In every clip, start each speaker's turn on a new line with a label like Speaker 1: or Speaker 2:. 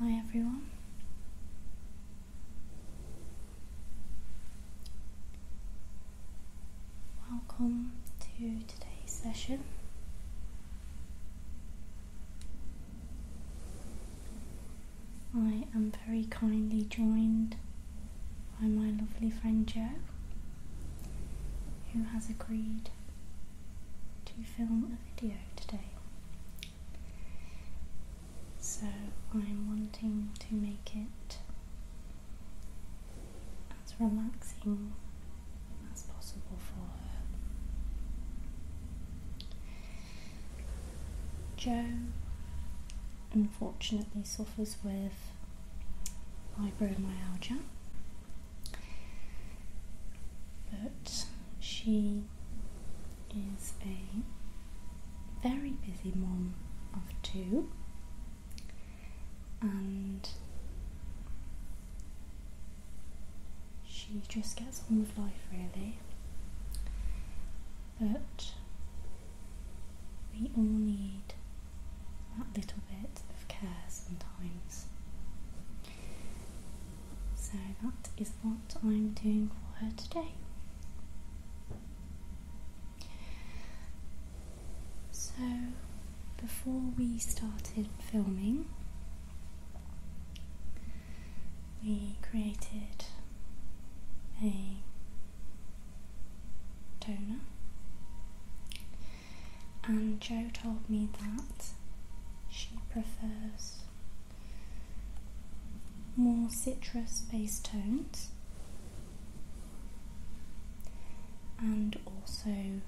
Speaker 1: Hi everyone. Welcome to today's session. I am very kindly joined by my lovely friend Joe, who has agreed to film a video today. So I'm wanting to make it as relaxing as possible for her. Jo unfortunately suffers with fibromyalgia, but she is a very busy mom of two and she just gets on with life really but we all need that little bit of care sometimes. So that is what I'm doing for her today. So before we started filming, we created a donor, and Joe told me that she prefers more citrus based tones and also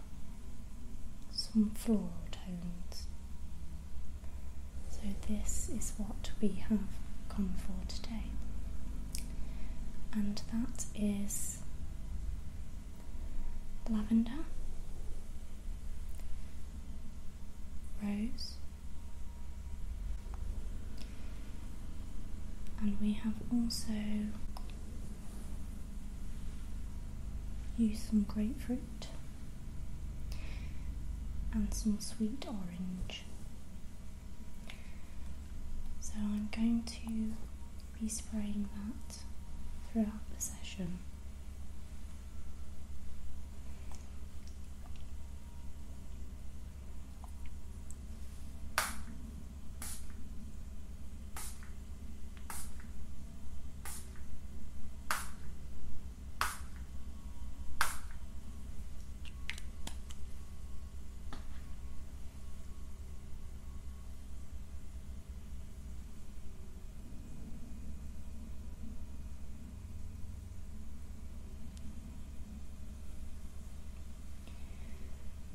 Speaker 1: some floral tones. So, this is what we have come for today, and that is lavender, rose, and we have also used some grapefruit and some sweet orange. So I'm going to be spraying that throughout the session.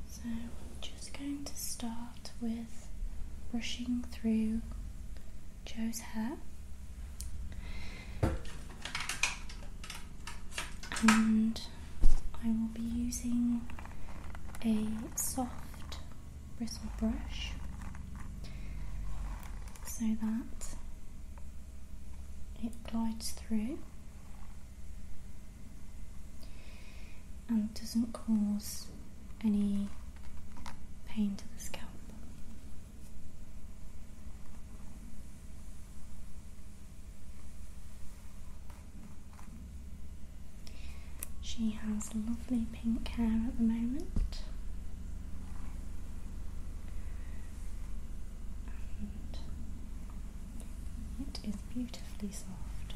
Speaker 1: So I'm just going to start with brushing through Joe's hair. And I will be using a soft bristle brush so that it glides through and doesn't cause any pain to the scalp. She has lovely pink hair at the moment. it is beautifully soft.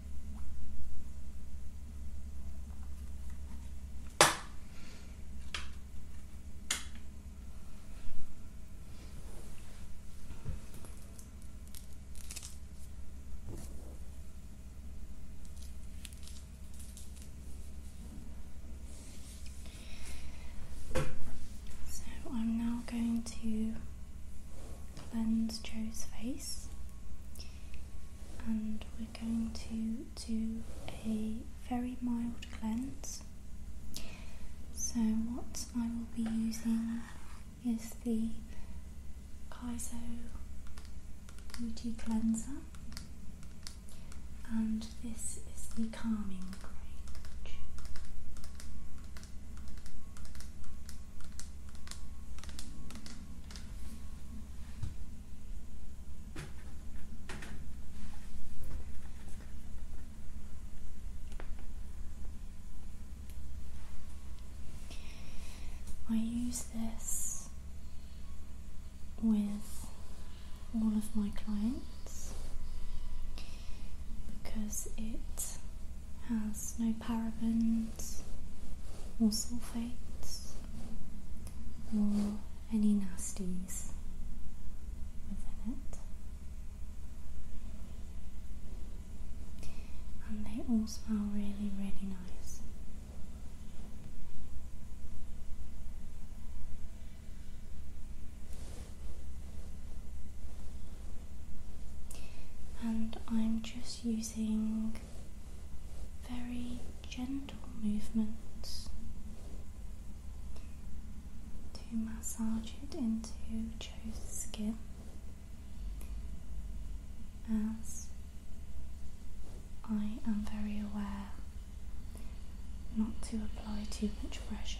Speaker 1: So I'm now going to cleanse Joe's face and we're going to do a very mild cleanse. So, what I will be using is the Kaizo Beauty Cleanser, and this is the Calming Range. I use this with all of my clients because it has no parabens or sulfates or any nasties within it. And they all smell really, really nice. And I'm just using very gentle movements to massage it into Joe's skin as I am very aware not to apply too much pressure.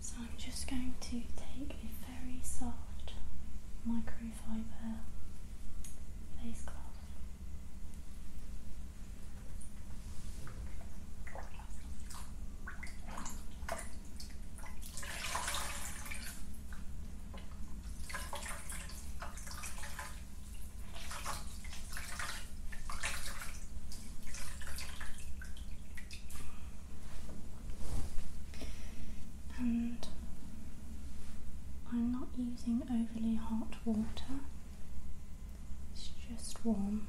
Speaker 1: So I'm just going to take a very soft microfiber face cloth. And I'm not using overly hot water, it's just warm.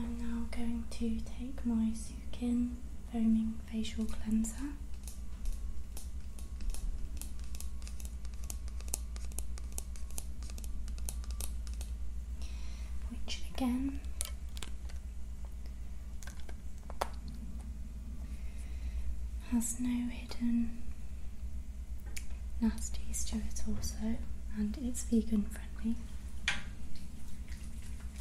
Speaker 1: I'm now going to take my sukin foaming facial cleanser. Which again has no hidden nasties to it, also, and it's vegan friendly.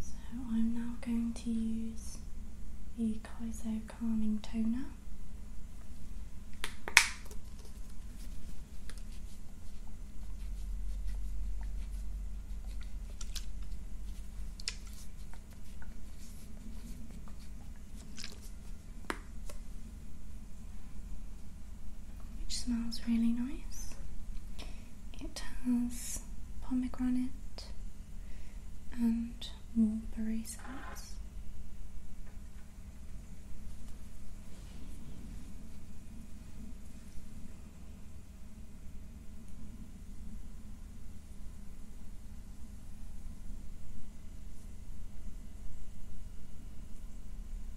Speaker 1: So I'm now going to use the Kaiso Calming Toner which smells really nice. It has pomegranate and mulberry scents.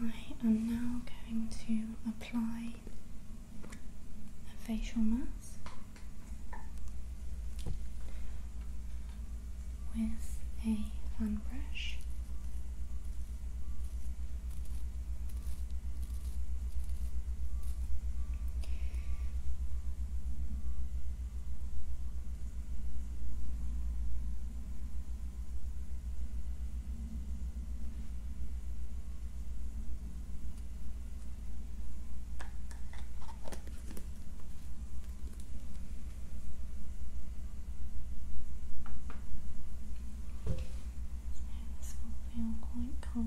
Speaker 1: I am now going to apply a facial mask with a fan brush. This will feel quite cold.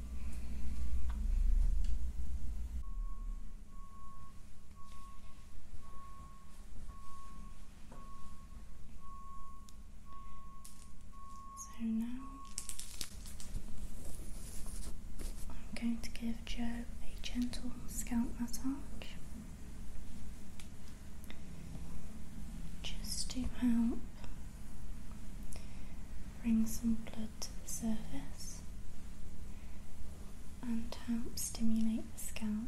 Speaker 1: So now I'm going to give Joe a gentle scalp massage just to help Bring some blood to the surface and help stimulate the scalp.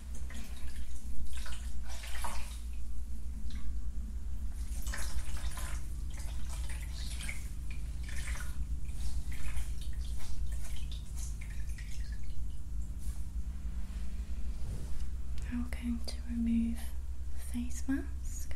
Speaker 1: Now we're going to remove the face mask.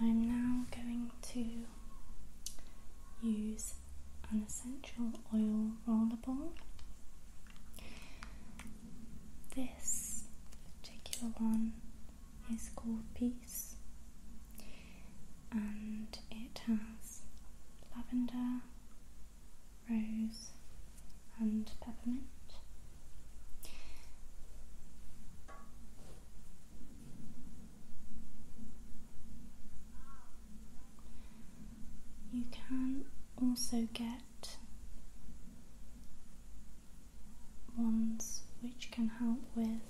Speaker 1: I'm now going to use an essential oil roller ball. This particular one is called Peace and it has lavender, rose, and peppermint. You can also get ones which can help with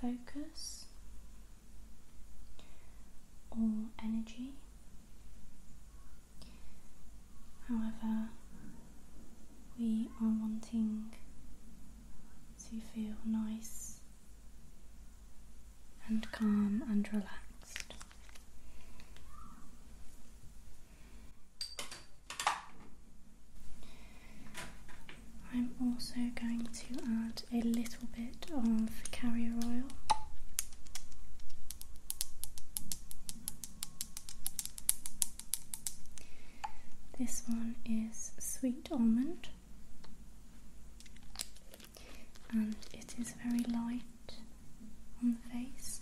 Speaker 1: focus or energy. However, we are wanting to feel nice and calm and relaxed. I'm also going to add a little bit of carrier oil. This one is sweet almond and it is very light on the face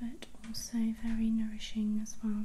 Speaker 1: but also very nourishing as well.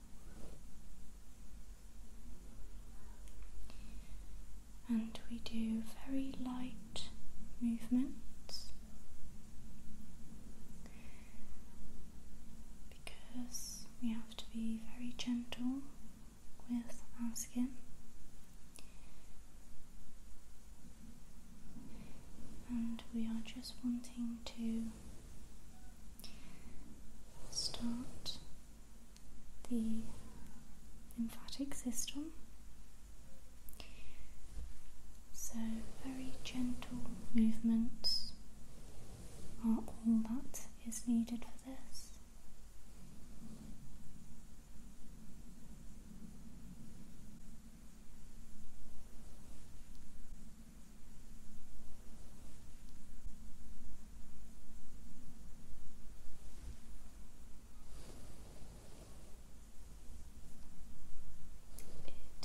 Speaker 1: and we do very light movements because we have to be very gentle with our skin. And we are just wanting to start the lymphatic system. So, very gentle movements are all that is needed for this.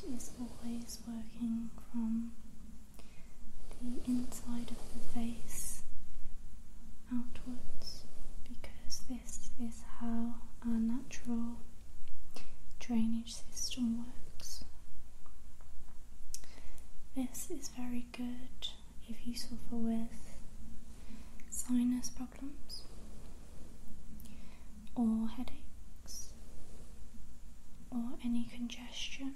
Speaker 1: It is always working from the inside of the face outwards because this is how our natural drainage system works. This is very good if you suffer with sinus problems or headaches or any congestion.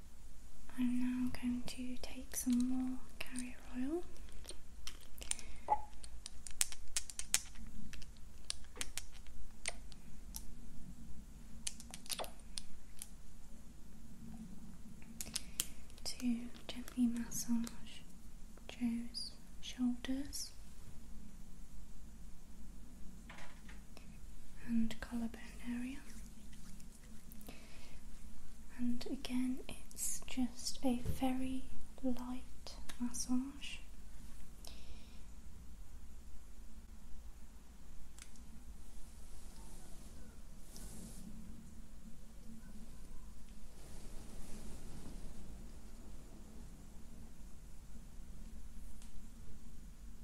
Speaker 1: I'm now going to take some more carrier oil. To gently massage Joe's shoulders and collarbone area. And again, it's just a very light massage.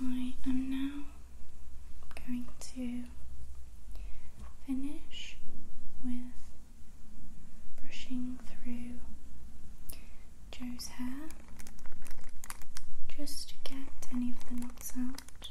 Speaker 1: I am now going to finish with brushing through Joe's hair just to get any of the knots out.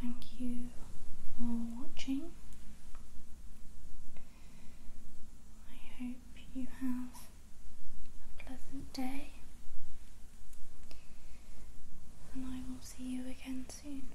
Speaker 1: Thank you for watching. I hope you have a pleasant day, and I will see you again soon.